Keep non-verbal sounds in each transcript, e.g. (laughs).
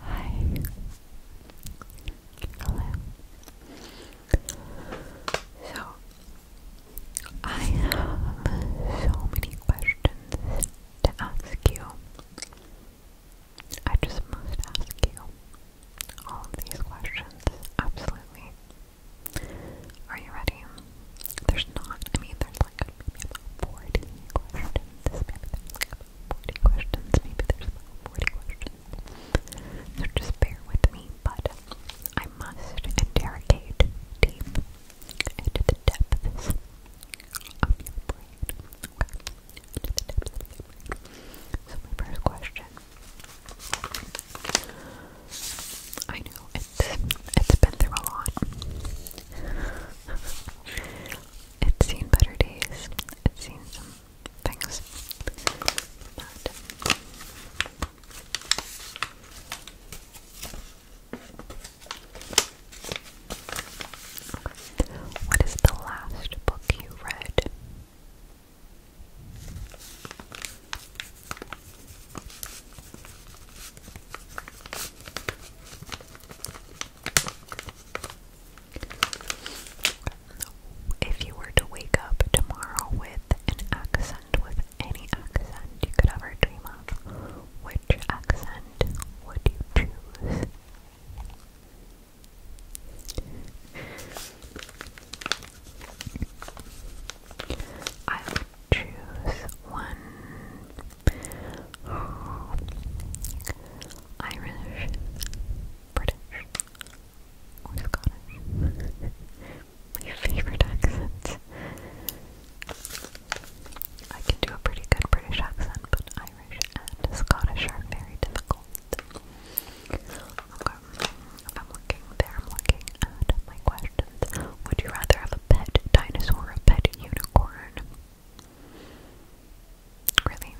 Hi. Hello. So, I have so many questions to ask you. I just must ask you all of these questions. Absolutely. Are you ready? There's not, I mean, there's like maybe about 40 questions. 40 questions. Maybe there's about 40 questions. So just bear with me, but I must interrogate deep into the depths of your brain. So my first question. I know it's it's been through a lot it's seen better days. It's seen some things. what is the last book you read? If you were to wake up tomorrow with an accent, with any accent you could ever dream of, which accent would you choose? I would choose one Irish, British, or Scottish. My favorite accents. I can do a pretty good British accent, but Irish and Scottish are very difficult. Okay, I'm looking there, I'm looking at my questions. Would you rather have a pet dinosaur a pet unicorn? Really?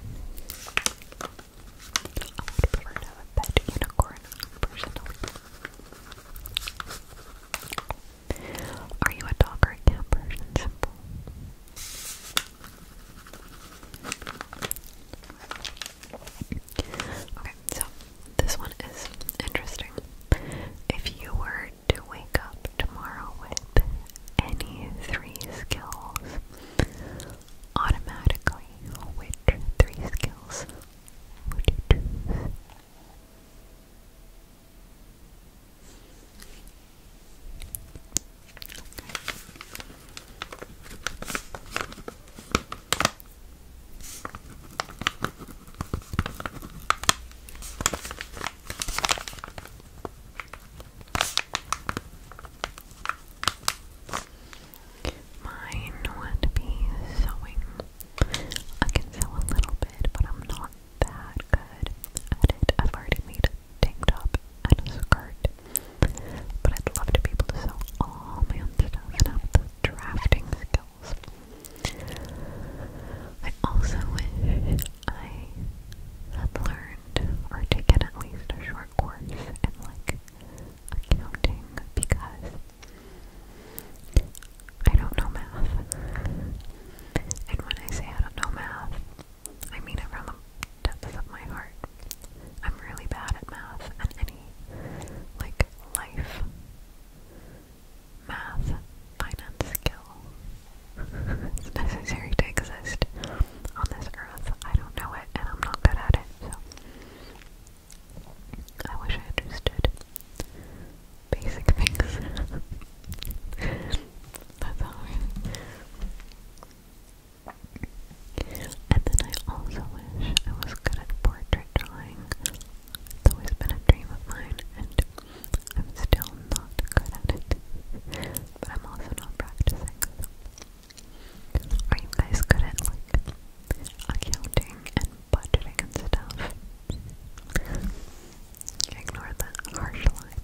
I would prefer to have a pet unicorn, personally. Are you a dog or a cat person? Simple. Okay, so this one is interesting. If you were to wake up tomorrow with any three skills automatically. Which three skills would you choose? Mine would be sewing. I can sew a little bit, but I'm not that good at it. I've already made a tank top and a skirt, but I'd love to be able to sew all my own stuff and have the drafting skills. I also wish I had learned or taken at least a short course in like accounting because I don't know math. And when I say I don't know math, I mean it from the depths of my heart. I'm really bad at math and any like life math finance skill it's necessary to exist on this earth. I don't know it, and I'm not good at it, so I wish I understood basic things. (laughs) That's all right. And then I also wish I was good at portrait drawing. always been a dream of mine, I'm still not good at it, but I'm also not practicing. Are you guys good at like accounting and budgeting and stuff? Ignore the harsh line.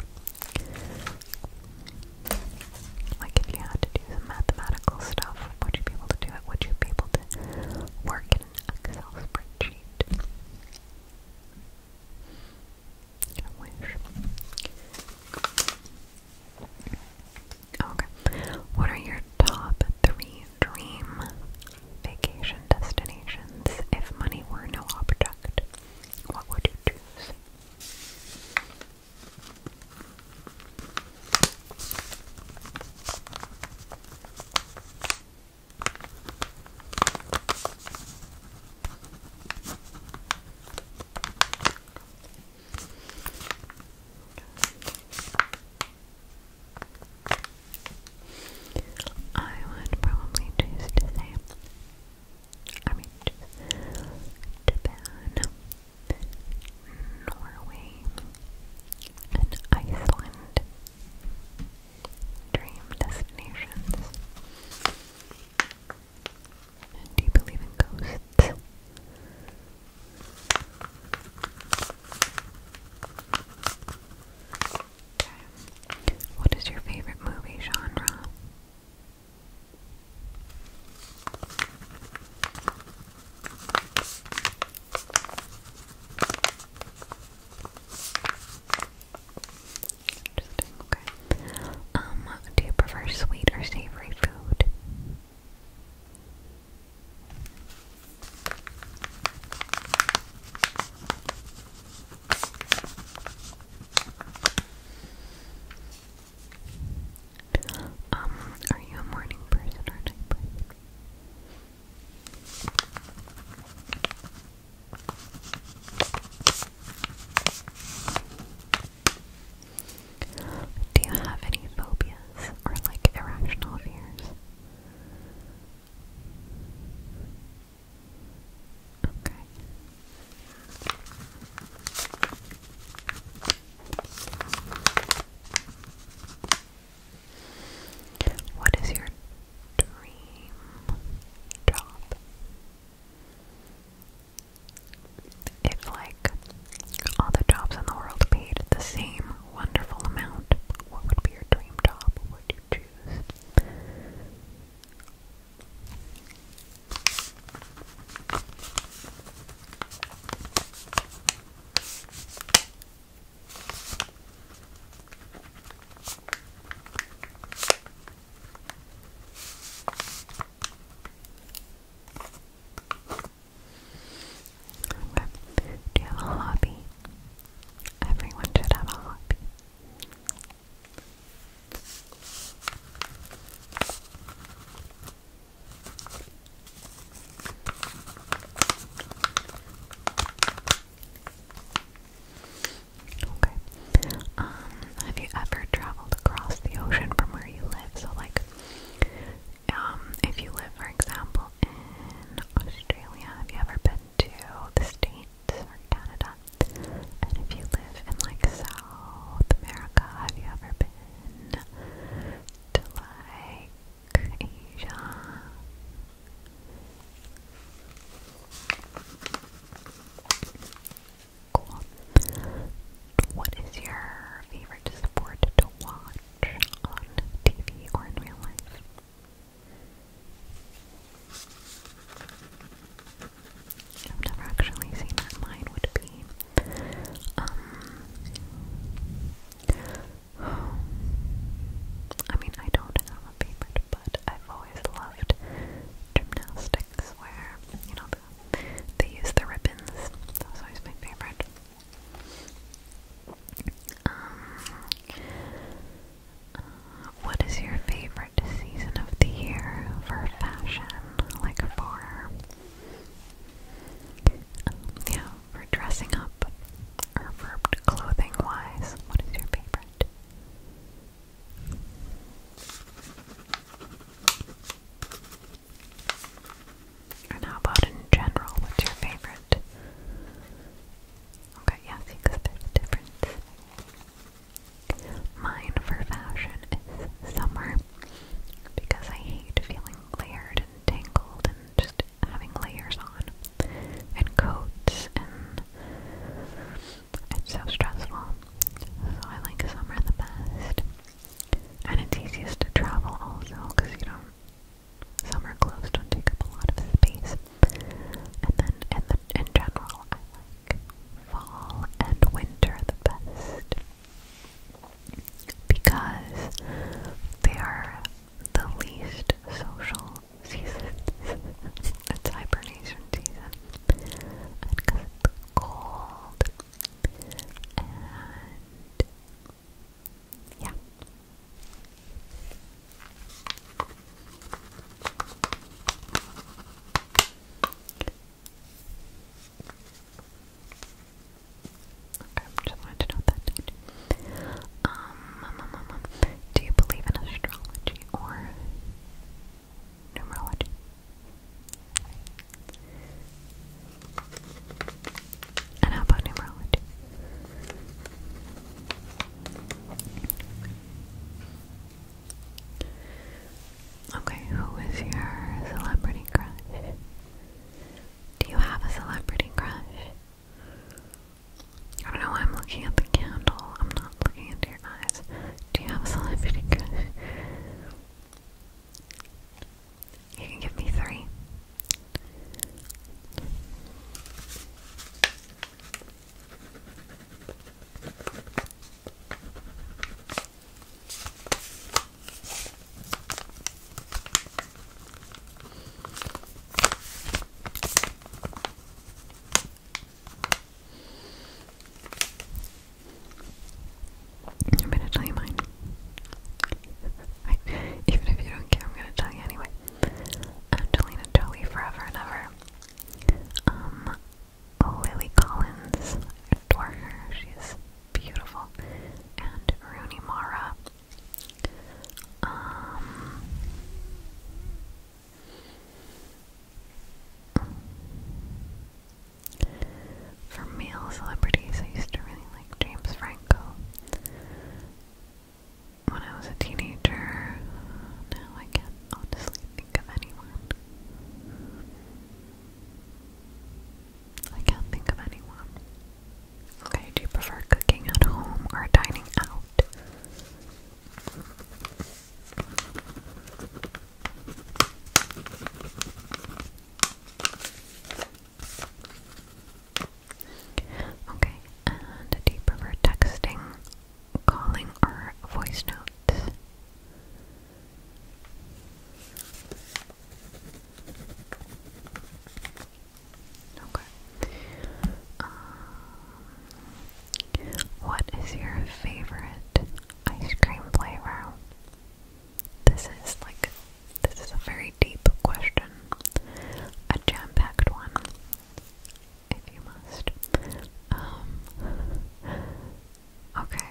Like if you had to do some mathematical stuff, would you be able to do it? Would you be able to work Excel spreadsheet? Okay. What are your top three dream vacation destinations if money were no object? What would you choose? I would probably choose to say, I mean, Japan, Norway, and Iceland. Dream destinations. Do you believe in ghosts? Okay. What is your favorite movie genre? Um, do you prefer sweet or savory food? Um, are you a morning person or night person? Do you have any phobias or like irrational fears? Okay. What is your dream job? If, like, all the jobs in the world paid the same wonderful amount, what would be your dream job? What would you choose? Okay. Do you have a hobby? Everyone should have a hobby. Okay. Um, have you ever traveled across the ocean from where you live? So, like, um, if you live, for example, in Australia, have you ever been to the States or Canada? And if you live in, like, South America, have you ever been to, like, Asia? What is your favorite sport to watch on TV or in real life? I've never actually seen that. Mine would be, um, (sighs) I mean, I don't have favorite, but I've always loved gymnastics where, you know, they use the ribbons. That always my favorite. Um, what is your favorite season of the year for fashion? Like for, um, yeah, for dressing up or for clothing wise? What is your favorite? And how about in general? What's your favorite? Okay, yeah, see, because there's a difference. Mine for fashion is summer because I hate feeling layered and tangled and just having layers on and coats and it's so stressful. So I like summer the best. And it's easiest to travel also because you don't, summer clothes don't take up a lot of space. And then in, the, in general, I like fall and winter the best because they are the least social seasons. (laughs) it's hyper hibernation season and because cold and yeah. Okay, just wanted to note that um, um, um, um, do you believe in astrology or numerology. And how about numerology? Okay, who is your celebrity crush? Do you have a celebrity crush? I don't know I'm looking at the candle. I'm not looking into your eyes. Do you have a celebrity crush? You can give me three. I'm gonna tell you mine. (laughs) even if you don't care, I'm gonna tell you anyway. Angelina Jolie forever and ever. Um, Lily Collins, adore her. She's beautiful. And Rooney Mara. Um, for male celebrities, I used to really like James Franco. When I was a teenager, now I can't honestly think of anyone. I can't think of anyone. Okay, do you prefer cooking at home or dining out? Okay, and do you prefer texting, calling, or voice notes? Okay. Um, what is your favorite ice cream flavor? This is like, this is a very deep question, a jam packed one, if you must. Um, okay.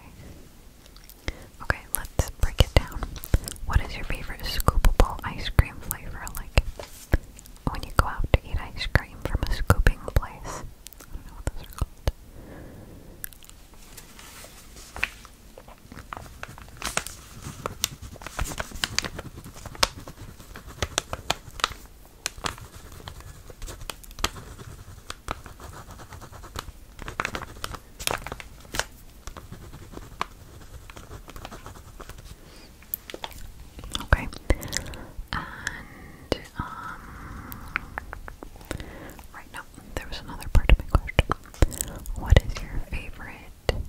Okay, let's break it down. What is your favorite scoopable ice cream flavor? Like, when you go out to eat ice cream from a scooping place, I don't know what those are called. Okay, and um right now there was another part of my question. What is your favorite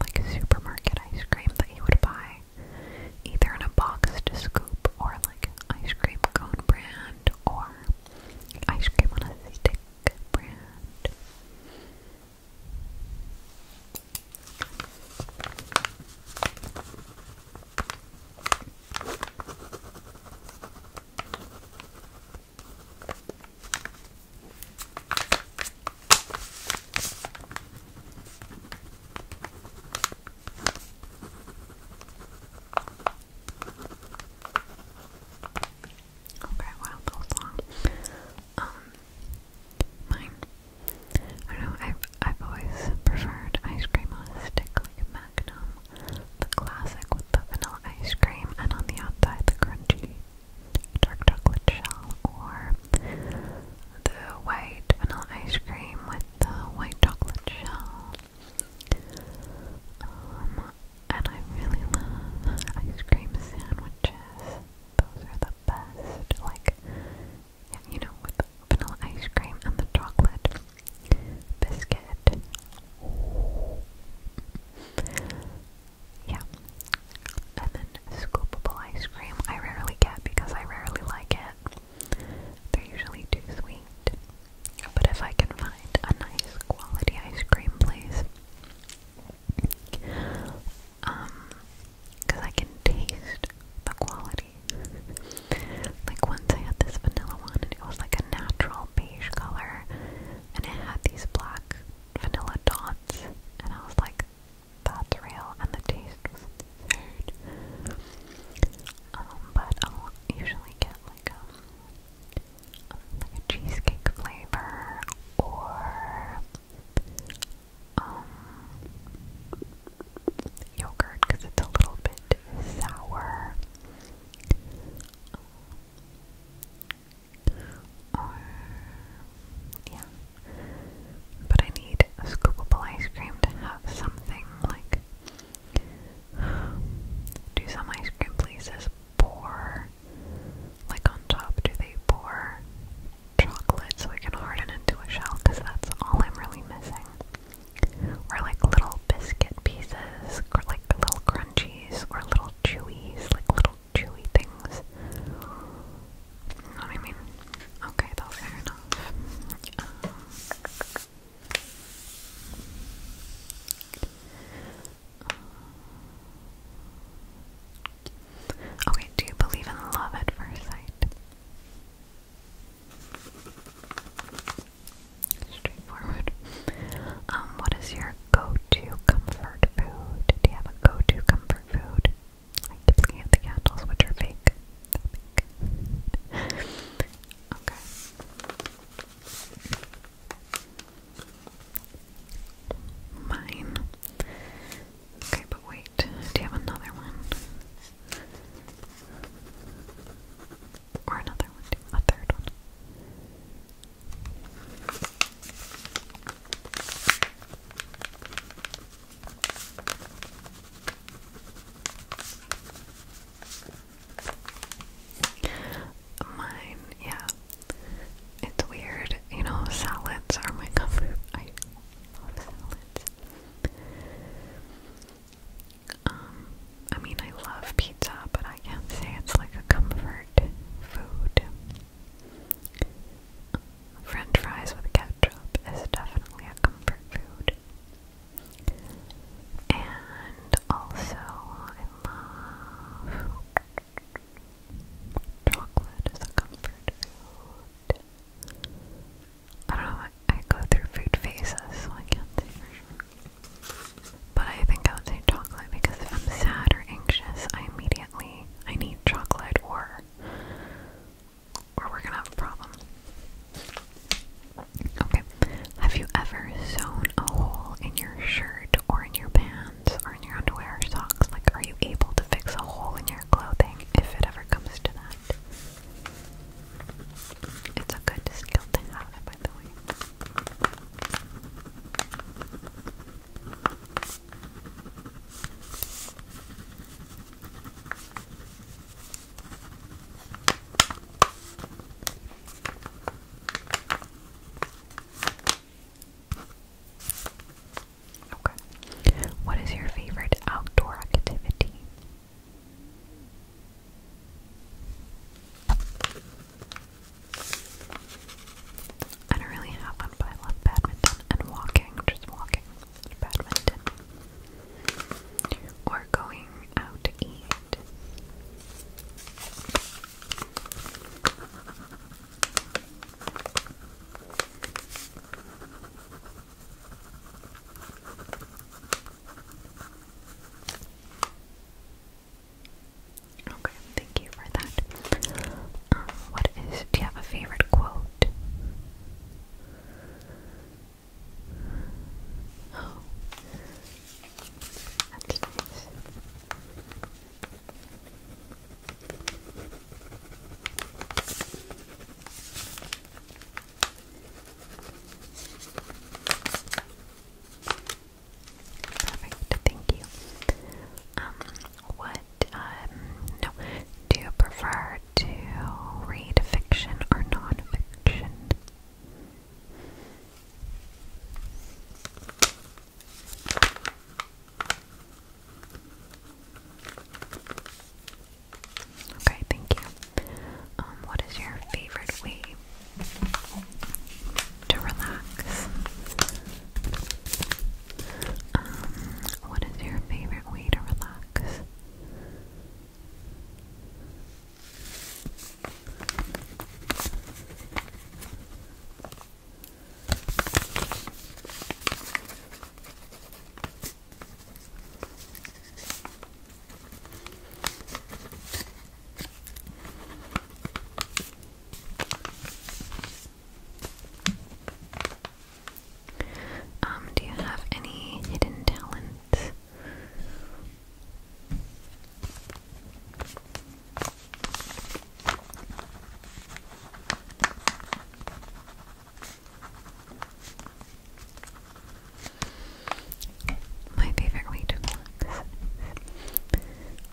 like supermarket ice cream that you would buy? Either in a box to scoop or like ice cream cone brand or ice cream on a stick brand. Okay, wow, that long. Um, mine I know, I've, always preferred ice cream on a stick like Magnum, the classic with the vanilla ice cream, and on the outside the crunchy dark chocolate shell, or the white vanilla ice cream with the white chocolate shell. Um, and I really love ice cream sandwiches. Those are the best. Like yeah, you know, with vanilla ice cream and the chocolate biscuit. Yeah. And then scoopable ice cream I rarely get because I rarely like it. They're usually too sweet. But if I can find a nice quality ice cream place, um, because I can taste the quality like once I had this vanilla one and it was like a natural beige color and it had these black vanilla dots and I was like that's real and the taste was absurd. Um but I'll usually get like a, um, like a cheesecake flavor or um yogurt because it's a little bit sour. Or, um, yeah. But I need a scoopable ice cream to have something like. Do some ice cream places pour, like on top, do they pour chocolate so it can harden into a shell? Because that's all I'm really missing or like little biscuit pieces, or like little crunchies, or little chewies, like little chewy things. You know what I mean? Okay, though, fair enough. Um, okay, do you believe in love at first sight? Straightforward. Um, what is your go-to comfort food? Do you have a go-to comfort food? I keep looking the candles, which are fake. fake. okay. Mine. Okay, but wait. Do you have another one? Or another one, A third one. Mine, yeah. It's weird, you know, salads are my comfort. I love salads. Um, I mean, I love pizza, but I can't say it's like a comfort food. French fries with ketchup is definitely a comfort food. And also, I love chocolate is a comfort food. I don't know, I go through food phases, so I can't say But I think I would say chocolate because if I'm sad or anxious, I immediately I need chocolate or or we're gonna have a problem. Okay. Have you ever sewn a hole in your shirt or in your pants or in your underwear or socks? Like are you able to fix a hole in your clothing if it ever comes to that? It's a good skill to have, by the way. Okay. What is your favorite outdoor activity? I don't really have one, but I love badminton and walking, just walking, badminton, or going out to eat. Okay, thank you for that. Um, what is, do you have a favorite quote? Oh, Perfect, thank you. Um, what, um, no, do you prefer to read fiction or non-fiction? Okay, thank you. Um, what is your favorite way to relax? Um, what is your favorite way to relax? Um, do you have any hidden talents? My favorite way to relax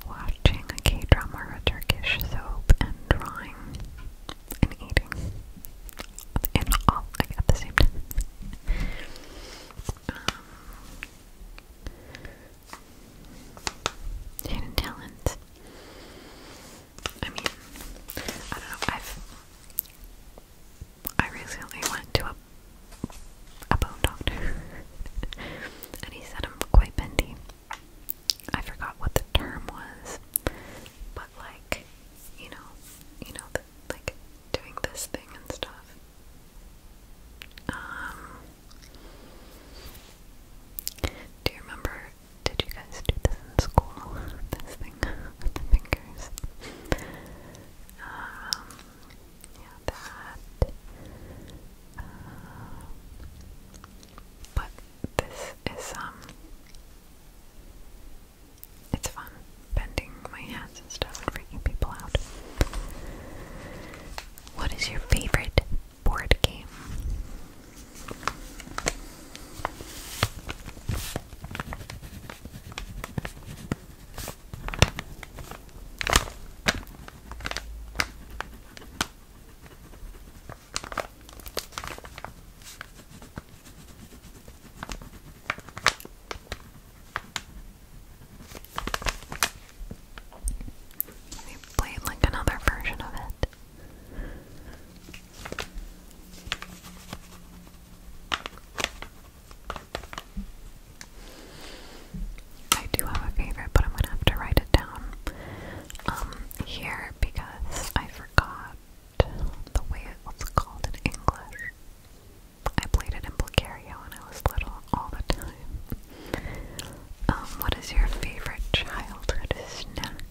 watching a K drama or a Turkish soap and drawing and eating. And all at the same time. Um, talent. I mean, I don't know, I recently went to a a bone doctor, (laughs) and he said I'm quite bendy. I forgot what the term was, but like, you know, you know, the, like doing this thing and stuff. Um, do you remember? Did you guys do this in school, this thing (laughs) the fingers. Um, yeah, that. Um, but this is, um, it's fun bending my hands and stuff freaking people out. What is your favorite board game? They played like another version of it. I do have a favorite, but I'm gonna have to write it down um, here because I forgot the way it was called in English. I played it in Bulgaria when I was little all the time. Um, what is your favorite childhood snack?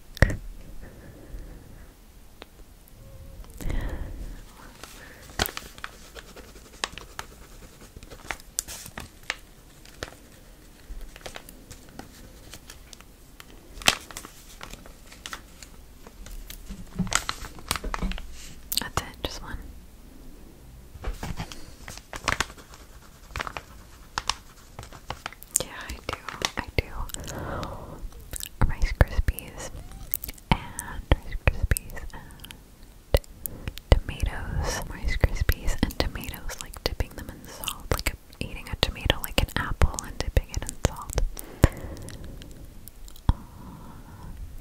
That's it, just one. Yeah, I do. I do. Rice Krispies and Rice Krispies and tomatoes. Rice Krispies and tomatoes, like dipping them in salt, like eating a tomato like an apple and dipping it in salt. Uh,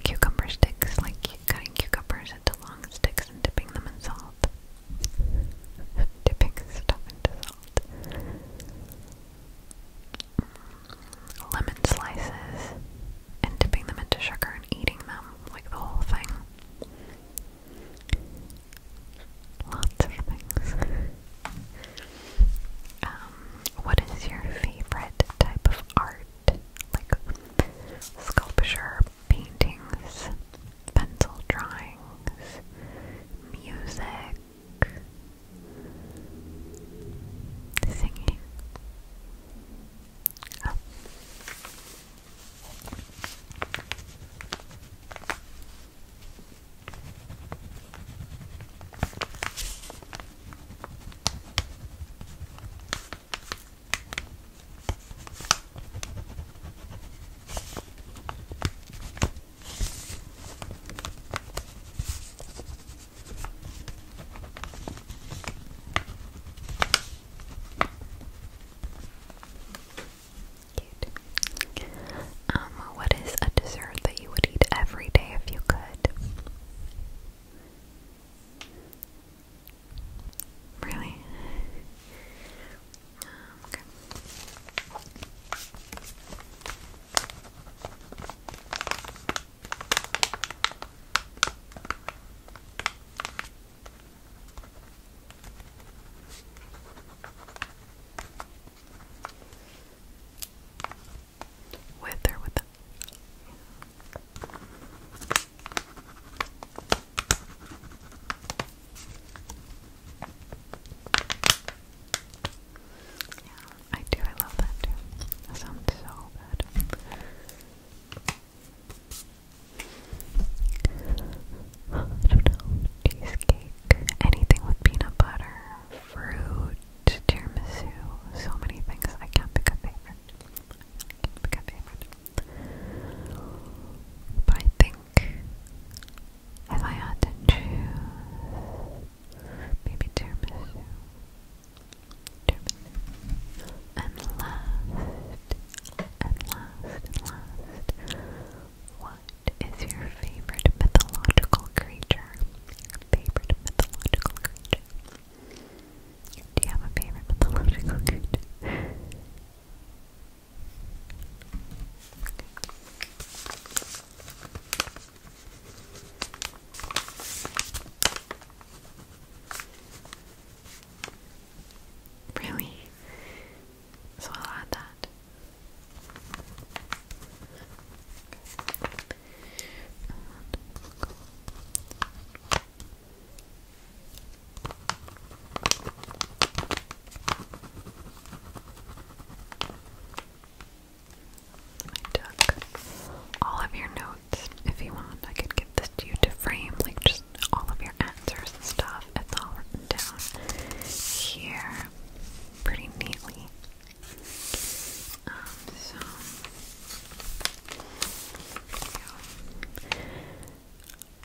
cucumber sticks, like cutting cucumbers into long sticks and dipping them in salt. dipping stuff into salt lemon slices and dipping them into sugar and eating them, like the whole thing. Lots of things. Um, what is your favorite type of art? Like sculpture, paintings, pencil drawings, music, singing. Oh. Um, what is a dessert that you would eat every day if you could? Really? Um, okay. With or without. I do, I love that too. That sounds so good. Cheesecake, anything with peanut butter, fruit, tiramisu, so many things. I can't pick a favorite. can't pick a favorite. But I think if I had to maybe tiramisu, tiramisu, and last, and last, last, what is your favorite mythological creature? Favorite mythological creature? Do you have a favorite mythological creature? Really? So I'll add that. I took all of your notes. If you want, I could give this to you to frame, like just all of your answers and stuff. It's all written down here pretty neatly. Um, so,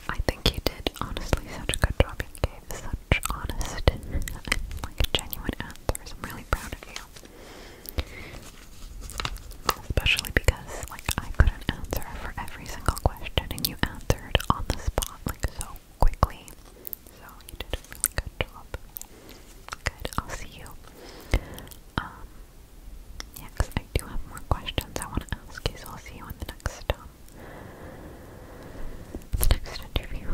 I think you did honestly such a good job. You gave such honest (laughs) like genuine answers. I'm really proud of you. Especially because, like, I couldn't answer for every single question, and you answered on the spot, like, so quickly. So, you did a really good job. Good, I'll see you. Um, yeah, I do have more questions I want to ask you, so I'll see you in the next, um, next interview.